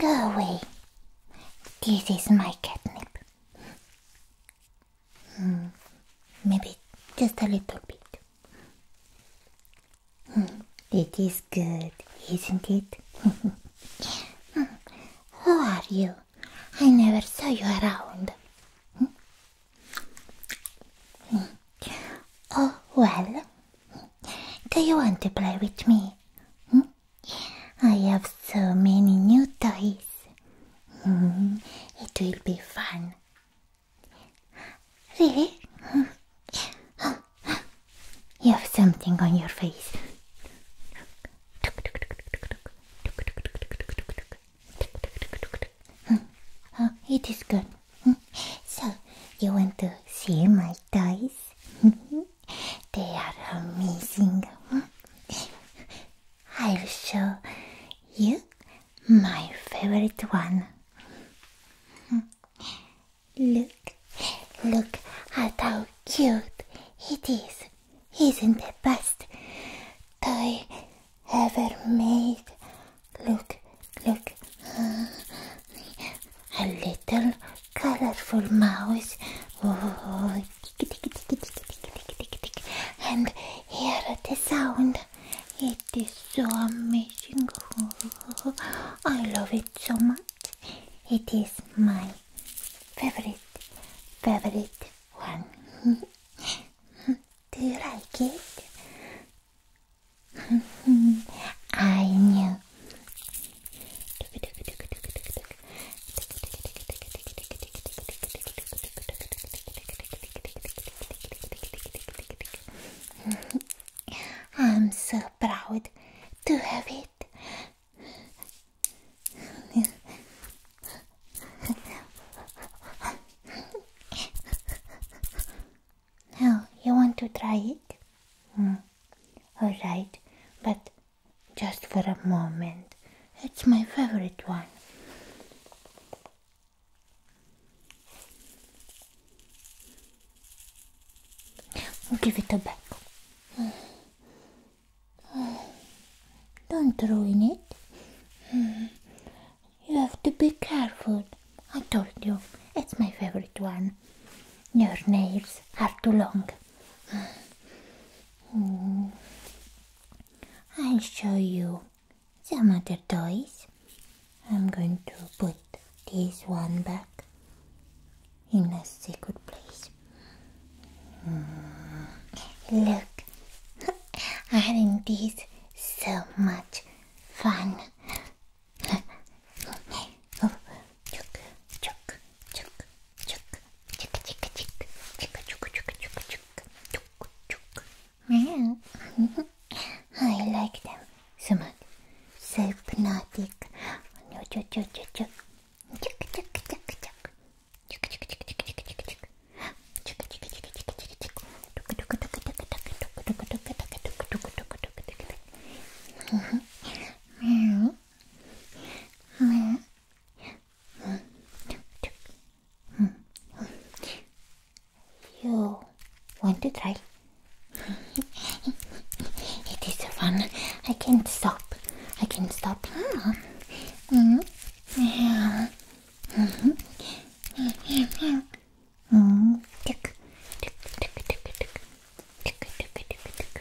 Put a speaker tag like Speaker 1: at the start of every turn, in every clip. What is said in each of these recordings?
Speaker 1: Go away. This is my catnip. Hmm. Maybe just a little bit. Hmm. It is good, isn't it? Who are you? I never saw you around. Oh, well. Do you want to play with me? I have so many new toys. It will be fun. Really? You have something on your face. Hmm. Oh, it is good. Hmm. So, you want to see my toys? Hmm. they are amazing. I'll show you my favorite one. Look, look at how cute it is. Isn't the best toy ever made? Look, look. Uh, a little colorful mouse. Oh, and hear the sound. It is so amazing. Oh, I love it so much. It is my favorite, favorite one. Do you like it? I knew. I'm so proud to have it now you want to try it? Mm. All right, but just for a moment. It's my favorite one. I'll give it a back. Don't ruin it. Hmm. You have to be careful. I told you, it's my favorite one. Your nails are too long. Hmm. I'll show you some other toys. I'm going to put this one back in a secret place. Look, aren't these so much fun? oh, chuk, chuk, chuk, chuk, chuk, chuk, chuk, chuk, chuk, chuk, chuk, chuk, chuk. Wow. I like them so much. So hypnotic. Chuk, chuk, chuk, chuk. You want to try it is fun. I can't stop. I can't stop. Mm -hmm. Mm -hmm. Mm -hmm. Tick, tick, tick, tick, tick, tick, tick, tick, tick, tick.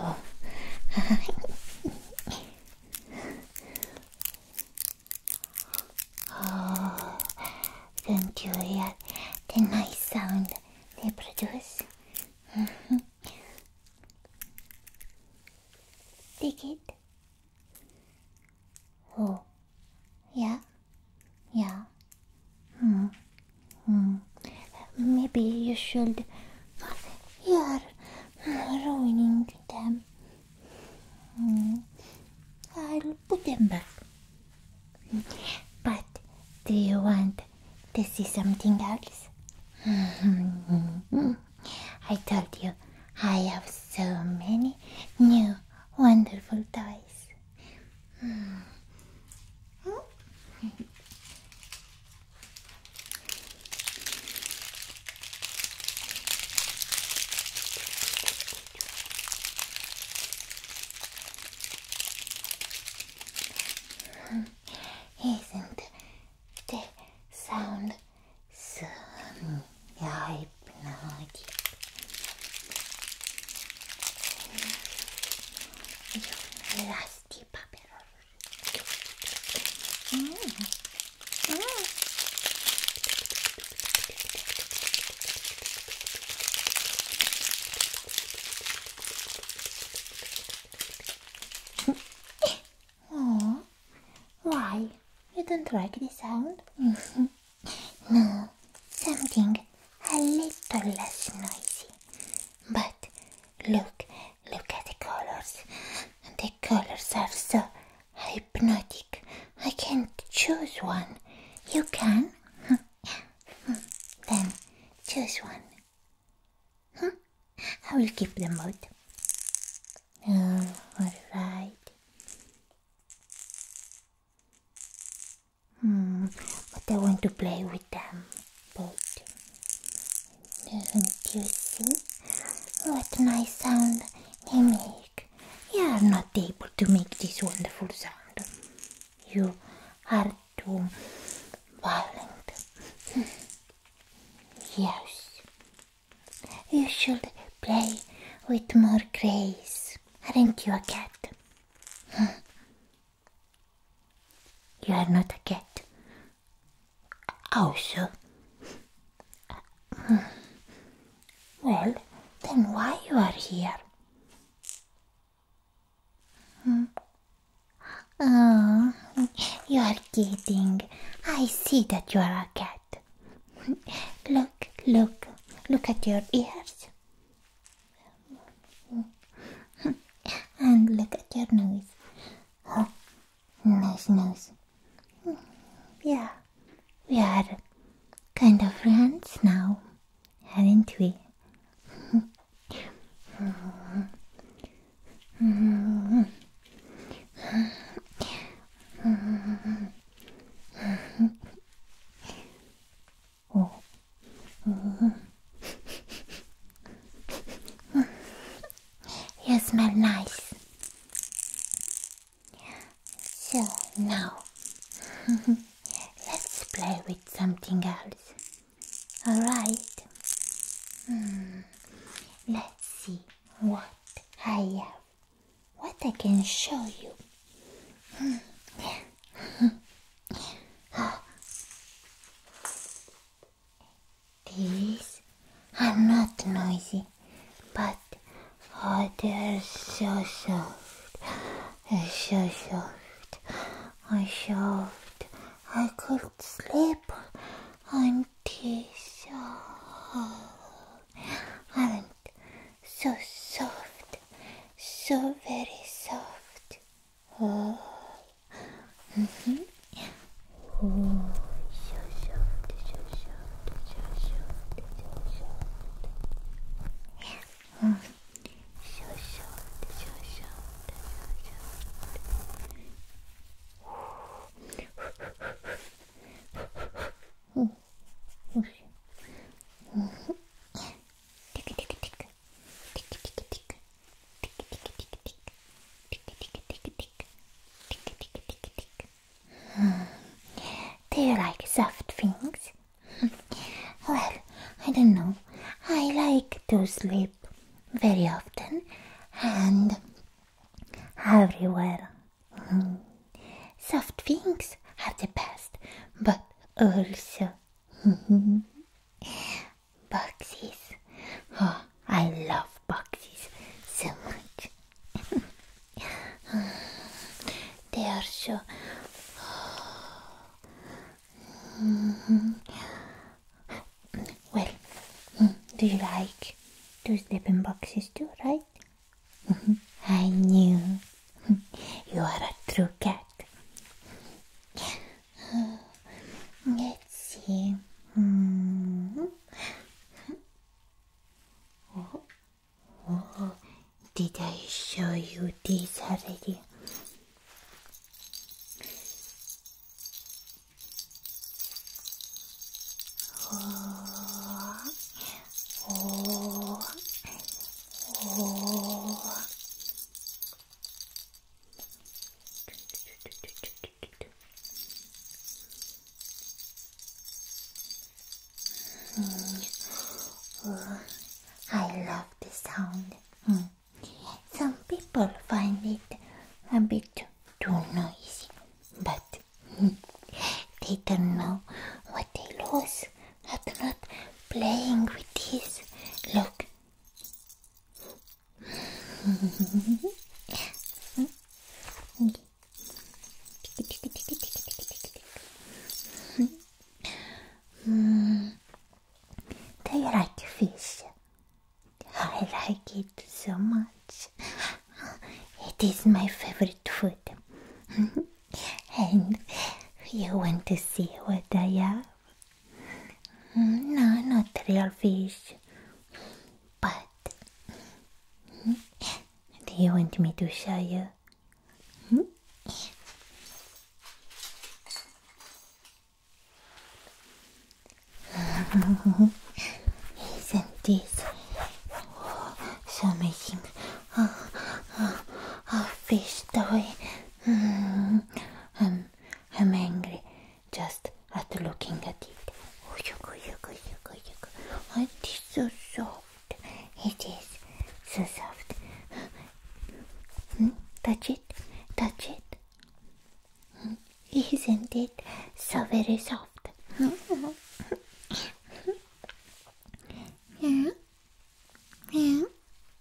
Speaker 1: Oh. oh, don't you hear the nice sound? they produce. Take it. Oh, yeah, yeah. Hmm. Hmm. Maybe you should. You are ruining them. I'll put them back. But do you want to see something else? I told you I have so many new wonderful toys. Isn't the sound so hypnotic? Rusty paper. Mm. Mm oh, why? You don't like the sound? Mm-hmm. no, something a little less noisy. But look, look at the colors. The colors are so hypnotic. I can't choose one. You can? Then choose one. Huh? I will keep them both. Um, alright. Hmm, but I want to play with them both. Don't you see? What nice sound they make. You are not able to make this wonderful sound. You are too violent. yes. You should play with more grace. Aren't you a cat? you are not a cat. Also. well, then why you are here? Oh, you are kidding. I see that you are a cat. Look, look, look at your ears. And look at your nose. Oh, nose, nose. Yeah, we are kind of friends now hadn't we? oh. you smell nice. So now let's play with something else. Alright? Hmm. Let's see what I have. What I can show you. Hmm. I'm not noisy, but Oh, they're so soft. They're so soft. I'm soft. I could sleep on this. Oh, I'm so soft. So very soft. Oh. Mm -hmm. oh. So soft, so soft, so soft, so soft. 嗯，小小的小小的小小的，嗯，不是，嗯，这个这个这个，这个这个这个，这个这个这个这个，这个这个这个这个，这个这个这个这个。Do you like soft things? well, I don't know. I like to sleep very often and everywhere. Mm. Soft things are the best, but also mm-hmm, boxes. Oh, I love boxes so much. They are so. Well, do you like two sleeping boxes too, right? I knew you are a true cat. Let's see. Hmm. Oh. Oh, did I show you this already? Mm. I love the sound. Mm. Some people find it a bit too noisy, but mm, they don't know what they lose at not playing with this. Look. Do you like fish? I like it so much. It is my favorite food. and you want to see what I have? No, not real fish. But do you want me to show you? Mm -hmm. Isn't this so amazing? Oh, oh, oh fish toy. Mm, I'm, I'm angry just at looking at it. Oh, yuck, yuck, yuck, yuck. Why it is so soft? It is so soft. Hmm? Touch it, touch it. Hmm? not it so very soft? yeah. Yeah. yeah,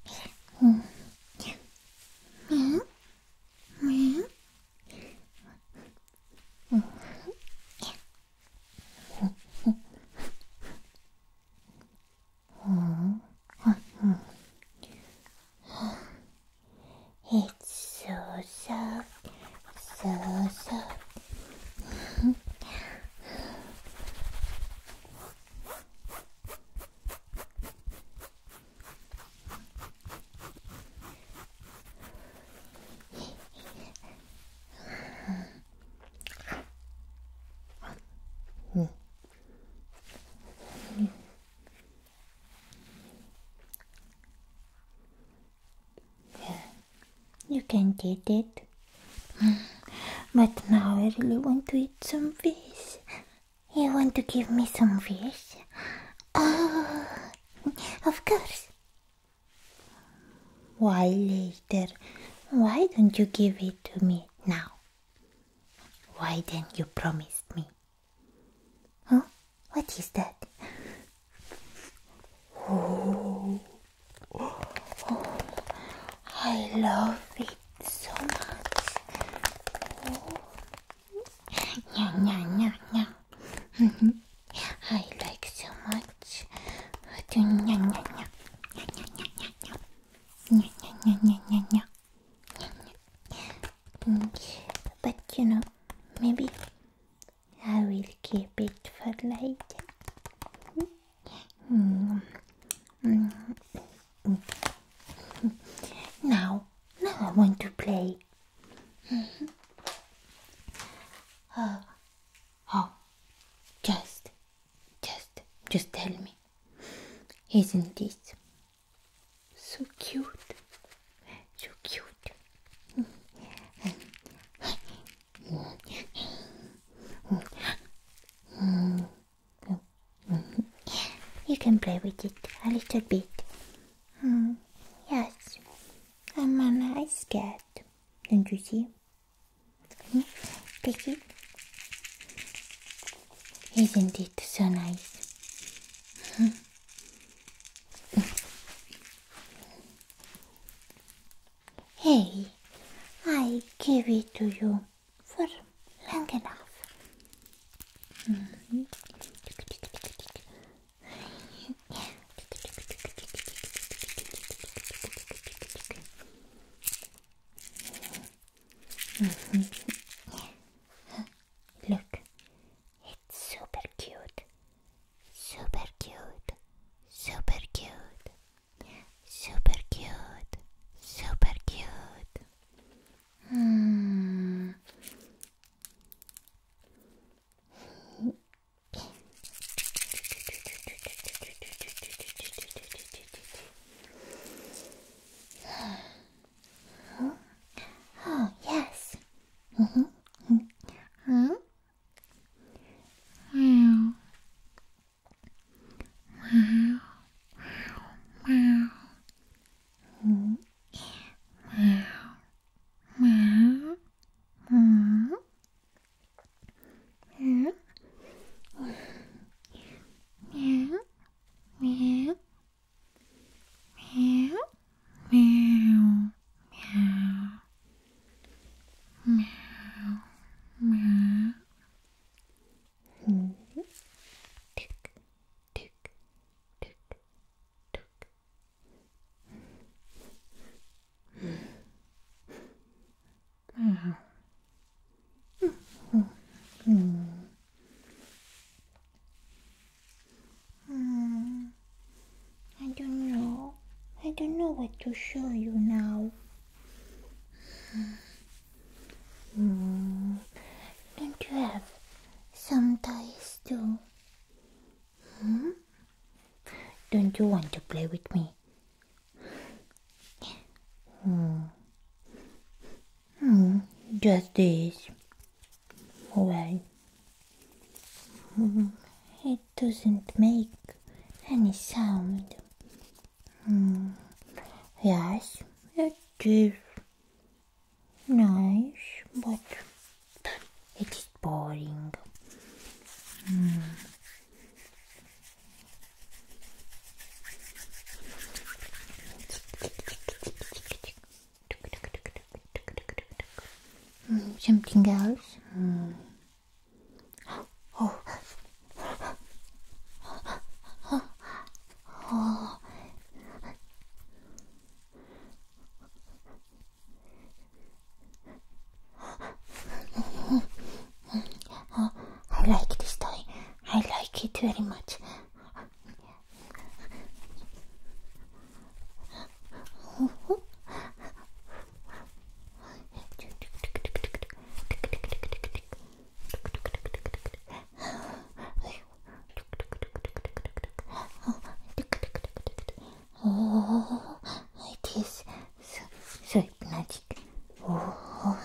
Speaker 1: yeah. It's so soft, so soft. You can get it. But now I really want to eat some fish. You want to give me some fish? Oh, of course. Why later? Why don't you give it to me now? Why didn't you promise me? Huh? What is that? Oh, oh I love it so much. Oh. Nya, nya, nya, nya. Mm-hmm. I like so much. But you know, maybe I will keep it for later. Mm-hmm. Now, now I want to play. Mm-hmm. Oh, Oh, just, just, just tell me. Isn't this so cute? So cute. You can play with it a little bit. Hmm, yes, I'm a nice cat. Don't you see? Hmm? it. Isn't it so nice? hey, I gave it to you for long enough. Mm-hmm. Mm-hmm. Look, it's super cute, super cute, super cute, super cute, super cute. Mm. Huh? Oh, yes. Mm-hmm. Huh? Wow. Wow. Wow. Wow. Wow meow, meow, meow, meow, meow, meow. Tick, tick, tick, tick, Ah. Mm. I don't know. I don't know what to show you now. Mm. Don't you have some ties too? Hmm? Don't you want to play with me? Hmm. Hmm. Just this. Well, hmm, it doesn't make any sound. Hmm. Yes, it is nice, but it is boring. Mm. something else? Mm. I like this toy. I like it very much. Oh, it is so, so hypnotic. Oh, oh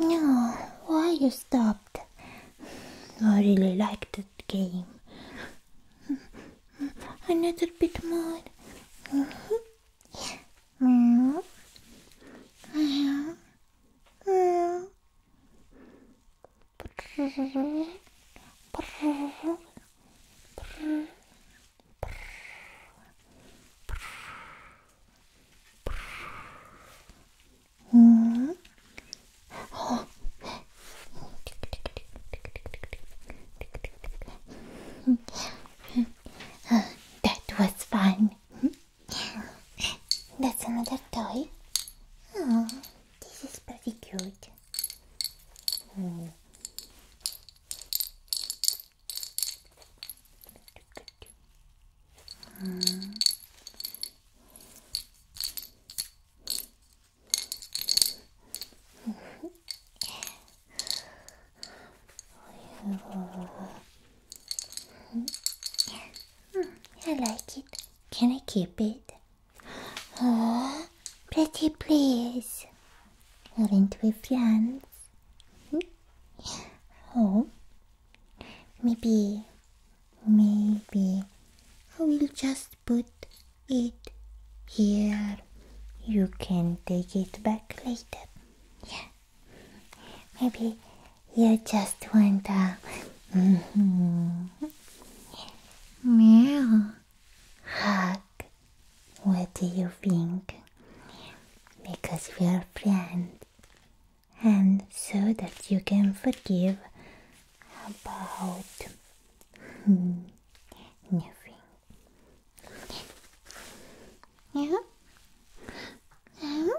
Speaker 1: no, why you stopped? I really like that game. Another bit more. Uh, that was fun. That's another toy. Oh, this is pretty cute. Hmm. I like it. Can I keep it? Oh, pretty please. Aren't we friends? Hmm? Oh, Maybe, maybe I will just put it here. You can take it back later. Yeah. Maybe you just want a mm-hmm, meow hug. What do you think? Because we are friends and so that you can forgive about hmm, nothing. yeah? Oh.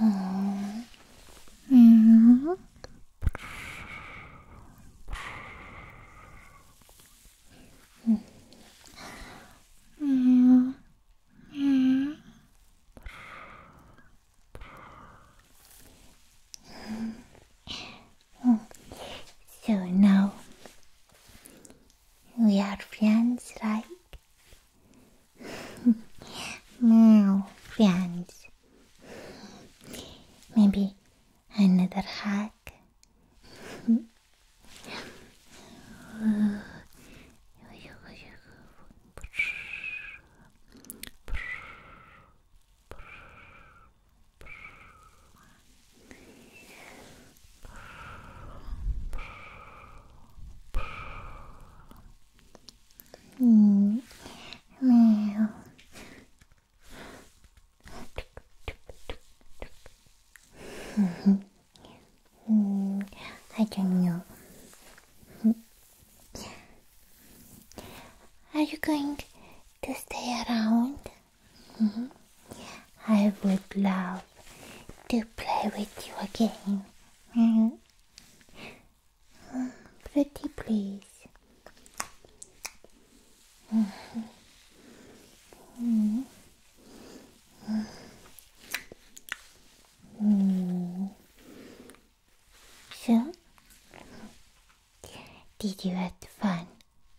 Speaker 1: Oh. Yeah. Yeah. Yeah. oh. So now we are friends, right? now, friends. Maybe another hug. Mm. I don't know. Are you going to stay around? -hmm. I would love to play with you again. -hmm. Pretty please. Mm -hmm. -hmm. So, did you have fun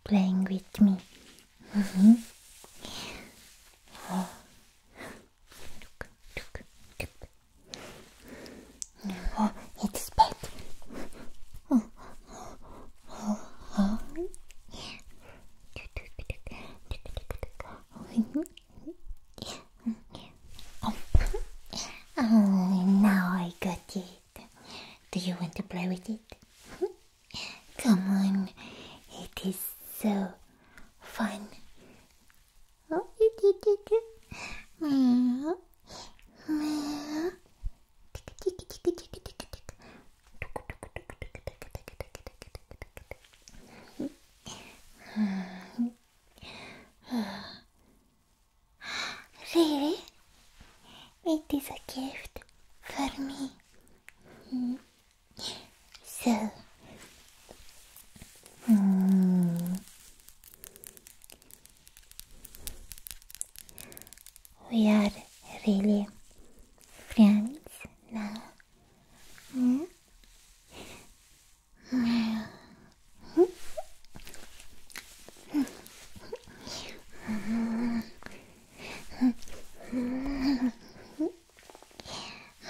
Speaker 1: playing with me. Mm-hmm. oh. Look, look, look. Oh, it's pet. Oh, oh, oh, oh. oh, now I got it. Do you want to play with it? Come on, it is so fun. Really? It is a gift for me. So, we are really friends now. Mm?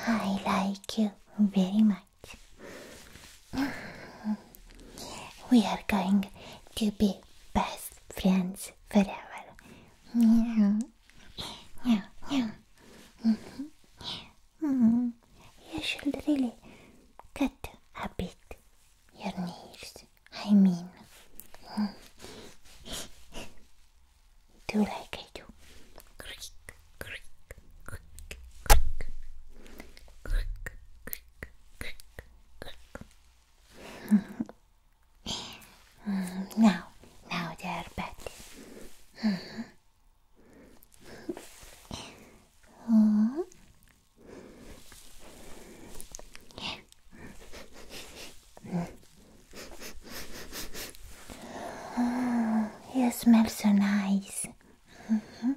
Speaker 1: I like you very much. We are going to be best friends forever. Yeah, yeah, yeah. You should really cut a bit your knees. I mean, hmm. do like I do. Hmm. now, now they are better. Oh, you smell so nice. -hmm. -hmm. -hmm.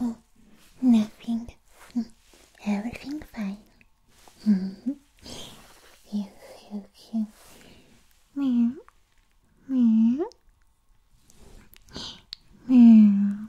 Speaker 1: Oh, nothing. Hmm, everything fine. You're so cute. Meow. Meow.